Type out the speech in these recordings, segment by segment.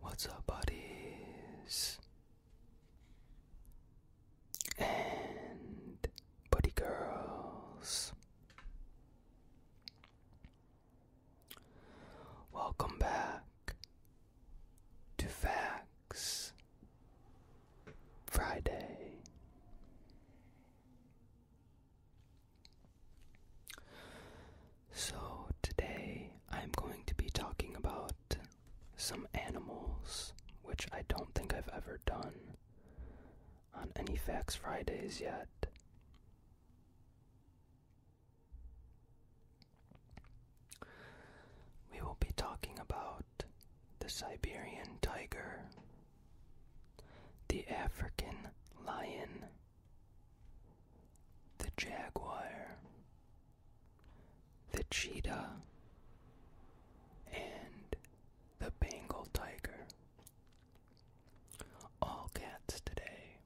What's up, buddies? And buddy girls. Welcome back to Facts Friday. So, today I'm going to be talking about some animals, which I don't think I've ever done on any Facts Fridays yet. We will be talking about the Siberian tiger, the African lion, the jaguar, the cheetah, and the Bengal tiger. All cats today.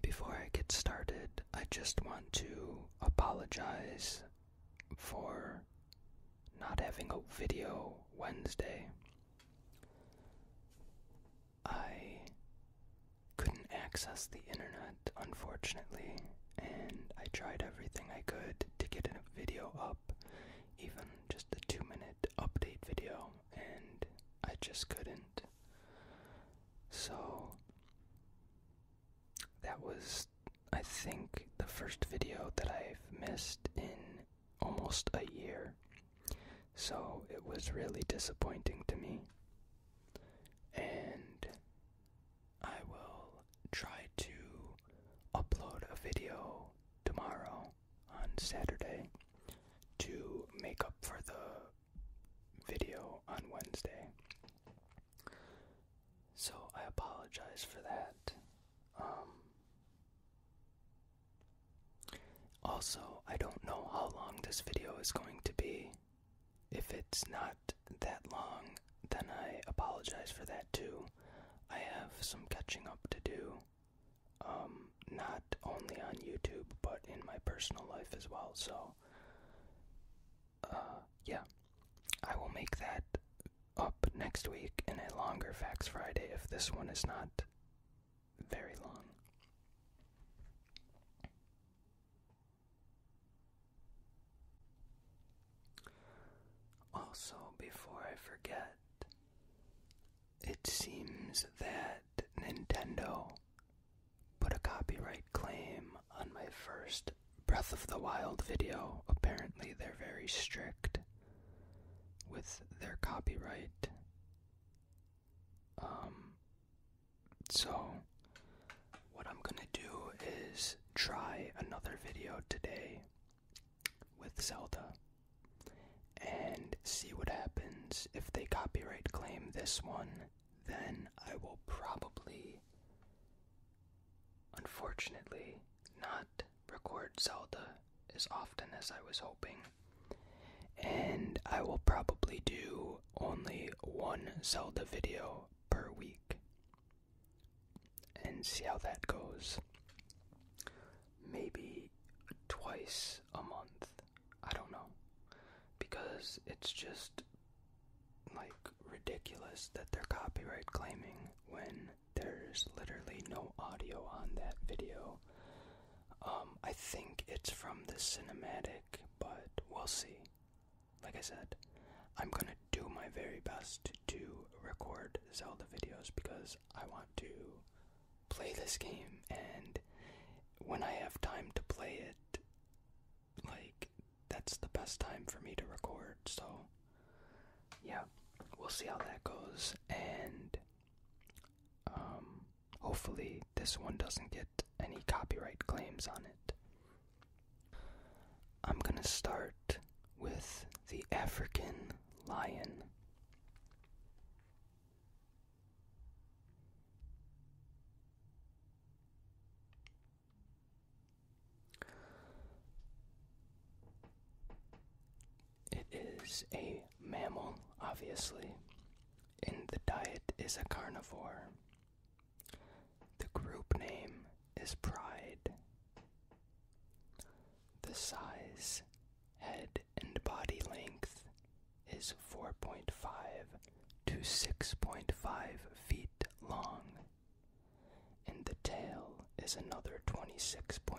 Before I get started, I just want to apologize for not having a video Wednesday. I couldn't access the internet, unfortunately, and I tried everything I could to get a video up, even just a two minute update video, and I just couldn't. So, that was, I think, the first video that I've missed in almost a year. So it was really disappointing to me. And I will try to upload a video tomorrow on Saturday to make up for the video on Wednesday. So I apologize for that. Um, also, I don't know how long this video is going to be. If it's not that long, then I apologize for that too. I have some catching up to do. Um, not only on YouTube, but in my personal life as well. So, uh, yeah. I will make that up next week in a longer Facts Friday if this one is not very long. Also, before I forget, it seems that Nintendo put a copyright claim on my first Breath of the Wild video. Apparently, they're very strict with their copyright. Um, so, what I'm gonna do is try another video today with Zelda and see what happens. If they copyright claim this one, then I will probably, unfortunately, not record Zelda as often as I was hoping. And I will probably do only one Zelda video per week and see how that goes. Maybe twice a month. I don't know. Because it's just like ridiculous that they're copyright claiming when there's literally no audio on that video. Um, I think it's from the cinematic, but we'll see. Like I said, I'm gonna do my very best to record Zelda videos because I want to play this game, and when I have time to play it, like, that's the best time for me to record, so yeah, we'll see how that goes, and um, hopefully, this one doesn't get any copyright claims on it. I'm gonna start with the African lion. It is a mammal, obviously, and the diet is a carnivore. The group name is Pride. The size, head, and body length is 4.5 to 6.5 feet long, and the tail is another 26.25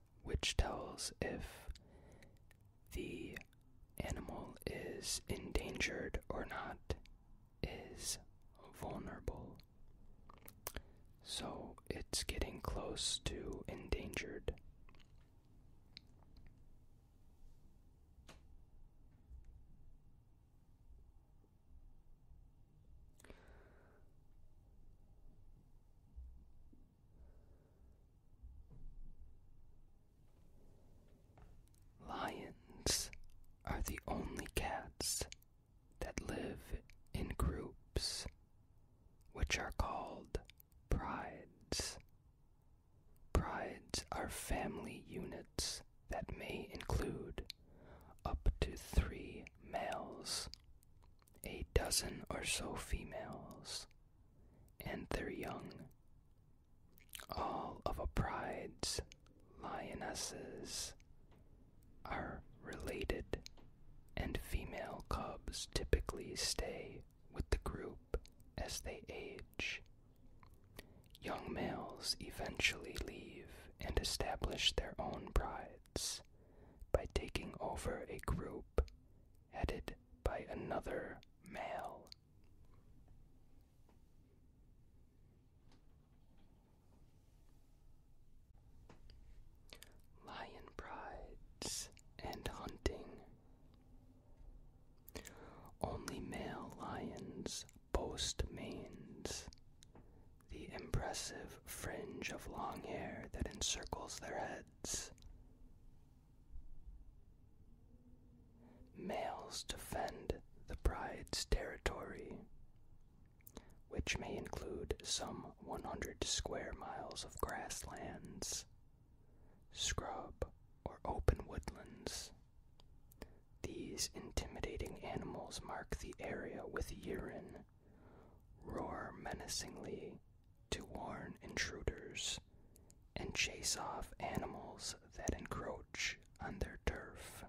which tells if the animal is endangered or not, is vulnerable. So it's getting close to endangered. Lions are the only cats that live in groups, which are called prides. Prides are family units that may include up to three males a dozen or so females, and their young, all of a pride's lionesses are related, and female cubs typically stay with the group as they age. Young males eventually leave and establish their own pride by taking over a group headed by another male. Lion prides and hunting. Only male lions boast manes, the impressive fringe of long hair that encircles their heads. Males defend the bride's territory, which may include some 100 square miles of grasslands, scrub, or open woodlands. These intimidating animals mark the area with urine roar menacingly to warn intruders, and chase off animals that encroach on their turf.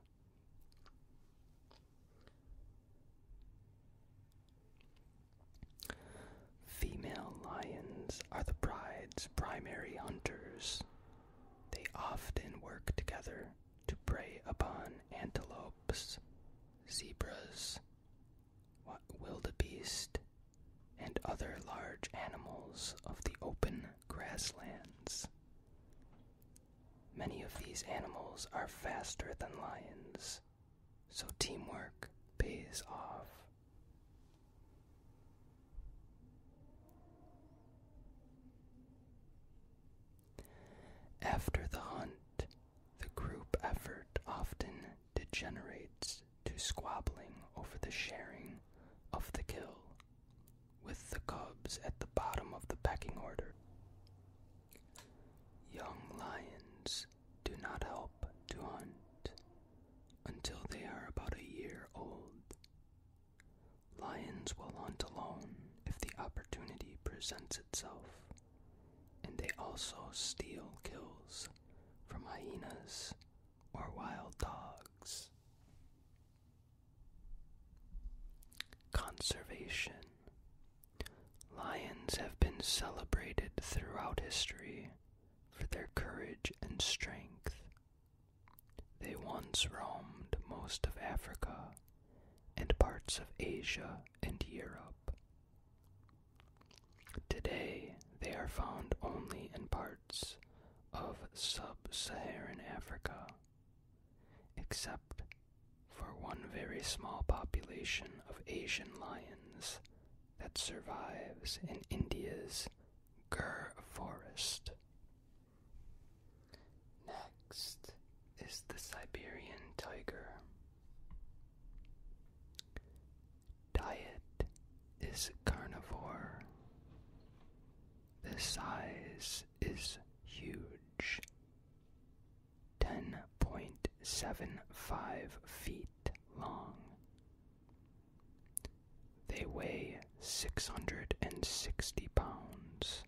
Female lions are the pride's primary hunters. They often work together to prey upon antelopes, zebras, wildebeest, and other large animals of the open grasslands. Many of these animals are faster than lions, so teamwork pays off. After the hunt, the group effort often degenerates to squabbling over the sharing of the kill, with the cubs at the bottom of the pecking order. Young lions do not help to hunt until they are about a year old. Lions will hunt alone if the opportunity presents itself and they also steal kills from hyenas or wild dogs. Conservation Lions have been celebrated throughout history for their courage and strength. They once roamed most of Africa and parts of Asia and Europe. Today, they are found only in parts of sub Saharan Africa, except for one very small population of Asian lions that survives in India's Gur forest. Next is the Siberian tiger. Diet is carnivore. The size is huge. 10.75 feet long. They weigh 660 pounds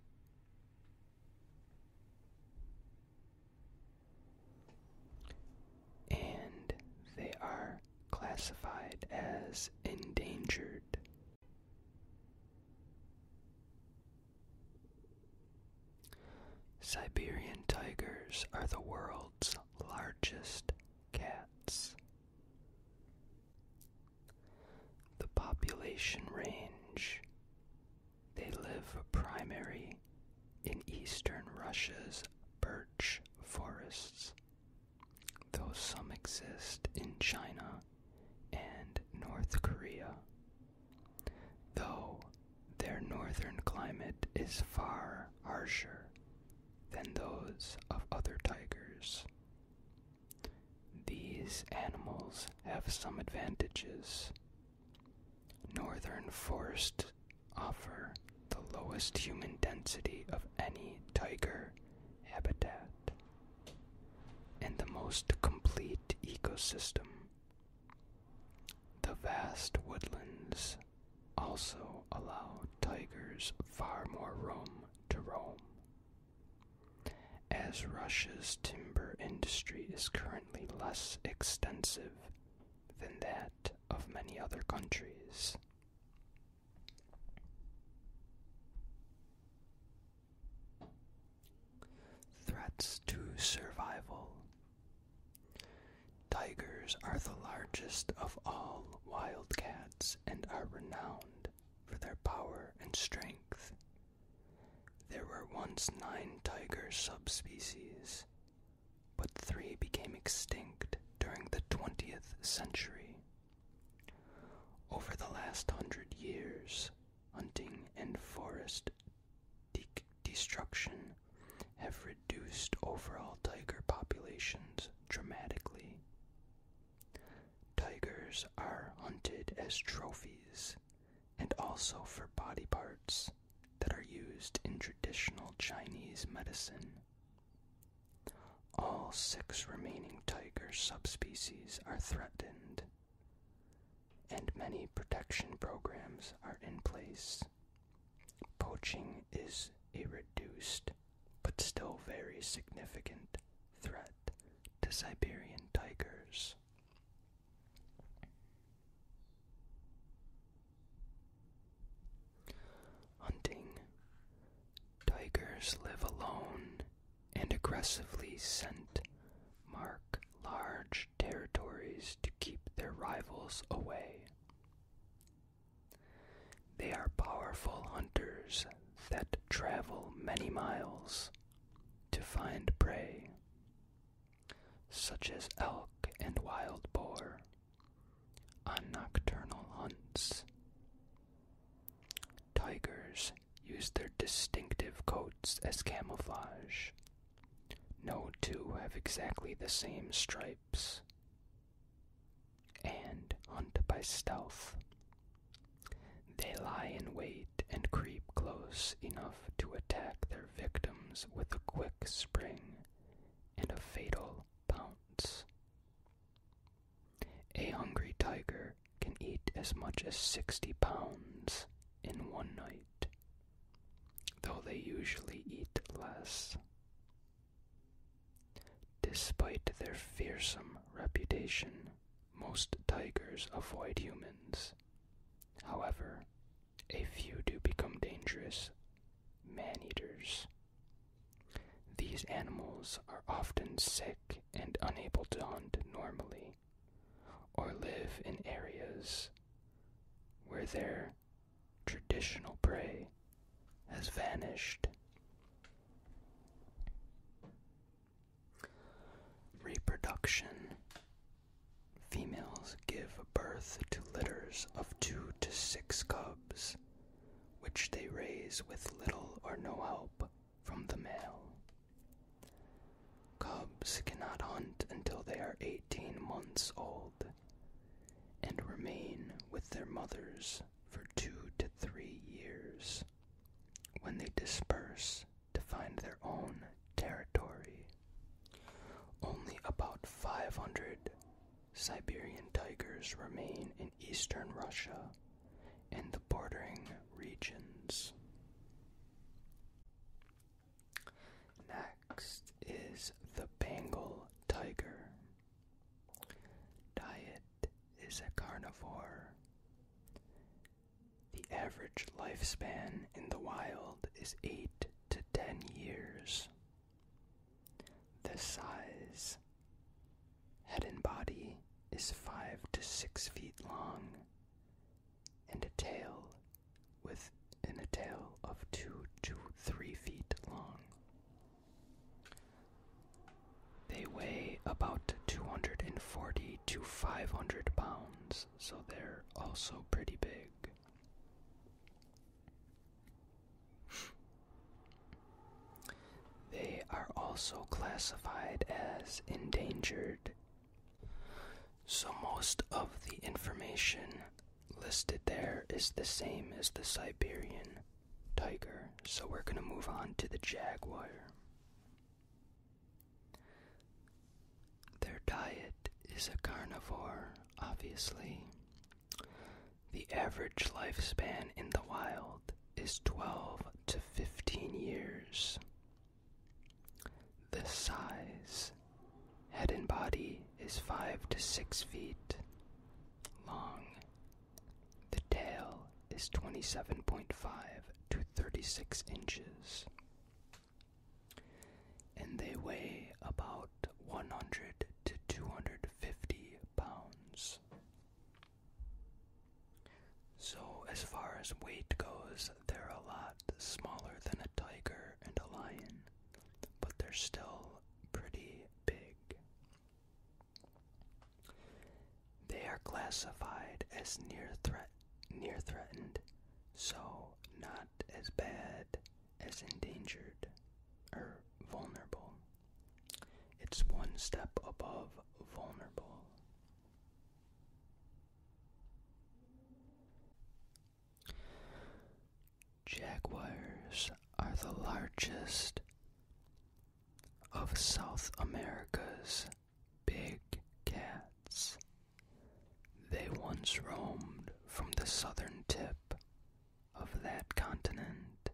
and they are classified as endangered. Siberian tigers are the world's largest cats. The population range they live primarily in eastern Russia's birch forests, though some exist in China and North Korea. Though their northern climate is far harsher than those of other tigers. These animals have some advantages Northern forests offer the lowest human density of any tiger habitat and the most complete ecosystem. The vast woodlands also allow tigers far more room to roam. As Russia's timber industry is currently less extensive than that of many other countries. Threats to survival. Tigers are the largest of all wild cats and are renowned for their power and strength. There were once nine tiger subspecies, but three became extinct during the 20th century. Over the last hundred years, hunting and forest destruction have reduced overall tiger populations dramatically. Tigers are hunted as trophies and also for body parts that are used in traditional Chinese medicine. All six remaining tiger subspecies are threatened, and many protection programs are in place. Poaching is a reduced but still very significant threat to Siberian tigers. Hunting. Tigers live alone and aggressively scent mark large territories to keep their rivals away. They are powerful hunters that travel many miles to find prey such as elk and wild boar, on nocturnal hunts. Tigers use their distinctive coats as camouflage. No two have exactly the same stripes. And hunt by stealth. They lie in wait and creep close enough to attack their victims with a quick spring and a fatal pounce. A hungry tiger can eat as much as 60 pounds in one night, though they usually eat less. Despite their fearsome reputation, most tigers avoid humans However, a few do become dangerous man eaters. These animals are often sick and unable to hunt normally, or live in areas where their traditional prey has vanished. Reproduction Females give birth to litters of two to six cubs, which they raise with little or no help from the male. Cubs cannot hunt until they are 18 months old and remain with their mothers for two to three years. When they disperse, to find their own territory. Only about 500 Siberian tigers remain in eastern Russia and the bordering regions. Next is the Bengal tiger. Diet is a carnivore. The average lifespan in the wild is 8 to 10 years. The size head and body is 5 to 6 feet long and a tail with in a tail of 2 to 3 feet long. They weigh about 240 to 500 pounds so they're also pretty big. They are also classified as endangered. So, most of the information listed there is the same as the Siberian tiger. So, we're going to move on to the jaguar. Their diet is a carnivore, obviously. The average lifespan in the wild is 12 to 15 years. The size, head and body, is 5 to 6 feet long. The tail is 27.5 to 36 inches and they weigh about 100 to 250 pounds. So, as far as weight goes, they're a lot smaller than a tiger and a lion, but they're still pretty big. They are classified as near threat near threatened, so not as bad as endangered or vulnerable. It's one step above vulnerable. Jaguars are the largest of South America's big cats. They once roamed from the southern tip of that continent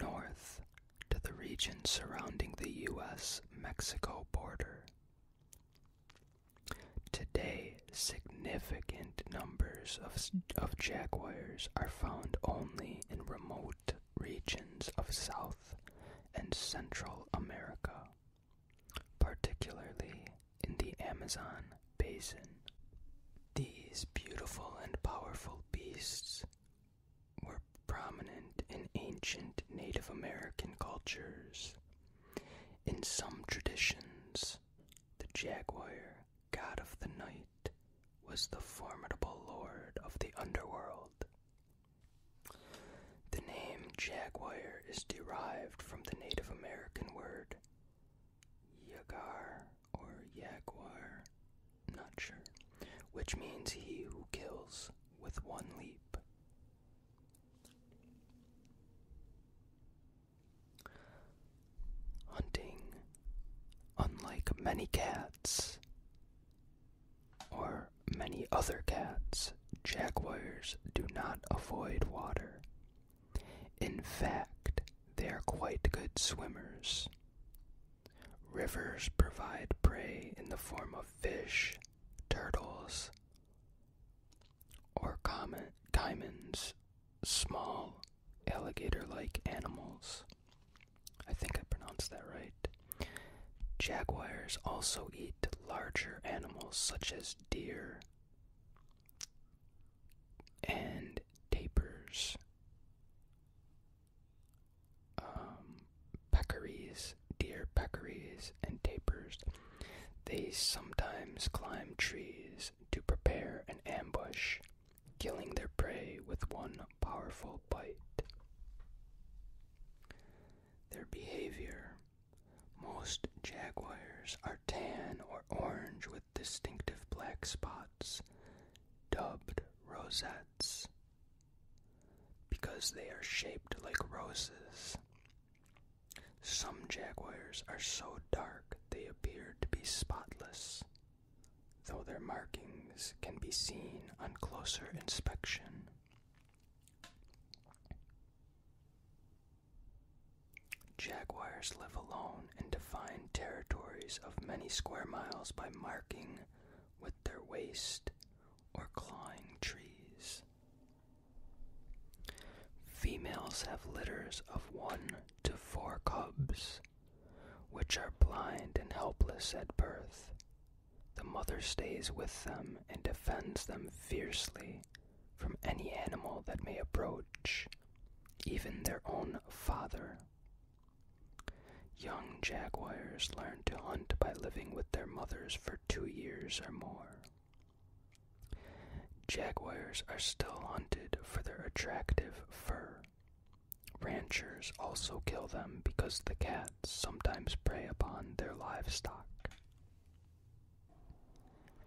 north to the region surrounding the U.S. Mexico border. Today, significant numbers of, jaguars are found only in remote regions of South and Central America particularly in the Amazon basin. These beautiful and powerful beasts were prominent in ancient Native American cultures. In some traditions, the jaguar, god of the night, was the formidable lord of the underworld the name jaguar is derived from the Native American word yagar or jaguar, not sure, which means he who kills with one leap. Hunting, unlike many cats, or many other cats, jaguars do not avoid water. In fact, they are quite good swimmers. Rivers provide prey in the form of fish, turtles, or diamonds small alligator like animals. I think I pronounced that right. Jaguars also eat larger animals such as deer and tapirs, um, peccaries, deer peccaries, and tapirs. They sometimes climb trees to prepare an ambush, killing their prey with one powerful bite. Their behavior most jaguars are tan or orange with distinctive black spots, dubbed rosettes, because they are shaped like roses. Some jaguars are so dark they appear to be spotless, though their markings can be seen on closer inspection. Jaguars live alone and define territories of many square miles by marking with their waste or clawing trees. Females have litters of one to four cubs, which are blind and helpless at birth, the mother stays with them and defends them fiercely from any animal that may approach, even their own father. Young jaguars learn to hunt by living with their mothers for two years or more. Jaguars are still hunted for their attractive fur. Ranchers also kill them because the cat sometimes prey upon their livestock.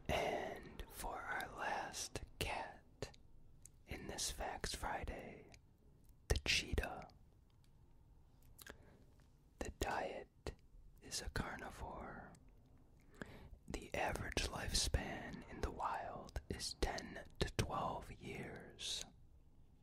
And for our last cat in this Facts Friday, the cheetah. The diet is a carnivore. The average lifespan in the wild is 10 to 12 years.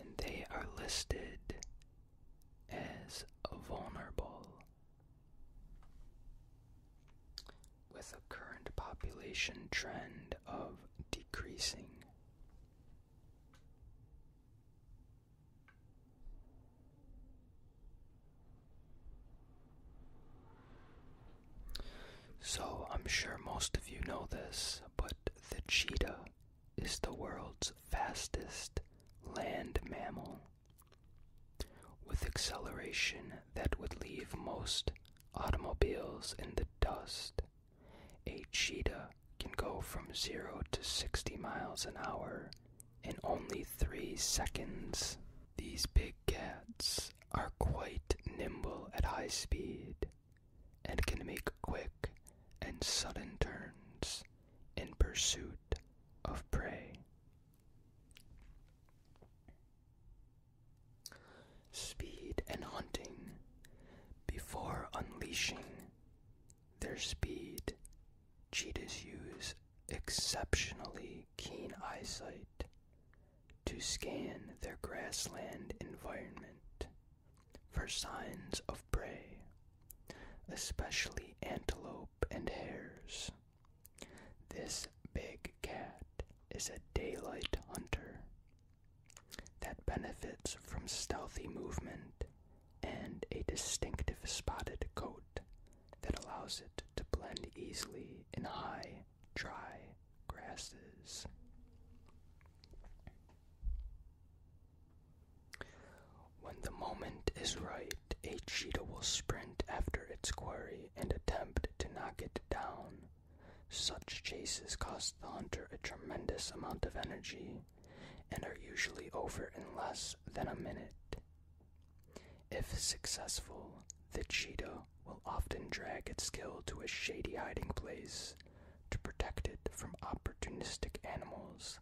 and they are listed as vulnerable. With a current population trend of decreasing. So, I'm sure most of you know this, but the cheetah is the world's fastest land mammal, with acceleration that would leave most automobiles in the dust. A cheetah can go from 0 to 60 miles an hour in only 3 seconds. These big cats are quite nimble at high speed, and can make quick and sudden turns in pursuit of prey. Speed and hunting before unleashing their speed. Cheetahs use exceptionally keen eyesight to scan their grassland environment for signs of prey, especially antelope and hares. This big cat is a daylight hunter that benefits from stealthy movement and a distinctive spotted coat that allows it to blend easily in high dry, grasses. When the moment is right, a cheetah will sprint after its quarry and attempt to knock it down. Such chases cost the hunter a tremendous amount of energy and are usually over in less than a minute. If successful, the cheetah will often drag its kill to a shady hiding place to protect it from opportunistic animals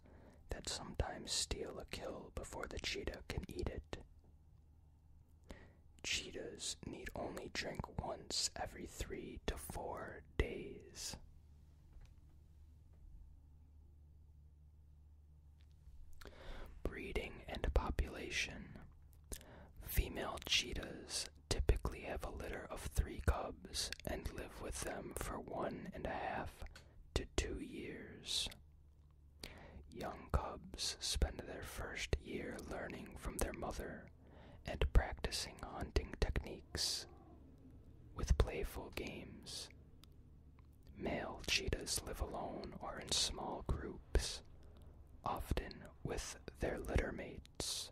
that sometimes steal a kill before the cheetah can eat it. Cheetahs need only drink once every three to four days. Breeding and population. Female cheetahs typically have a litter of three cubs and live with them for one and a half to two years. Young cubs spend their first year learning from their mother and practicing hunting techniques with playful games. Male cheetahs live alone or in small groups, often with their litter mates.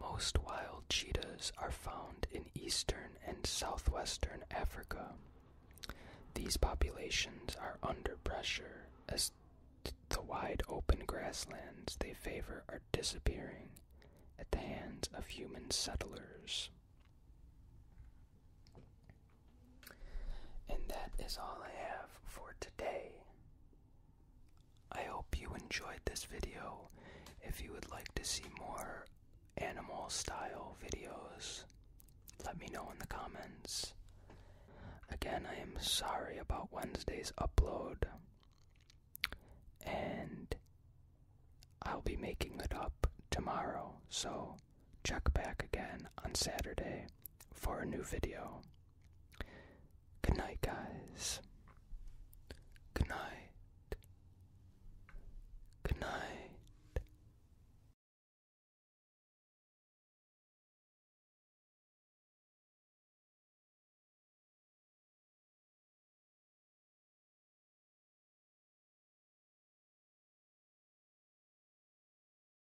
Most wild cheetahs are found in eastern and southwestern Africa. These populations are under pressure as the wide open grasslands they favor are disappearing at the hands of human settlers. And that is all I have for today. I hope you enjoyed this video. If you would like to see more animal style videos, let me know in the comments. Again, I am sorry about Wednesday's upload. And I'll be making it up tomorrow, so check back again on Saturday for a new video. Good night, guys. Good night. Good night.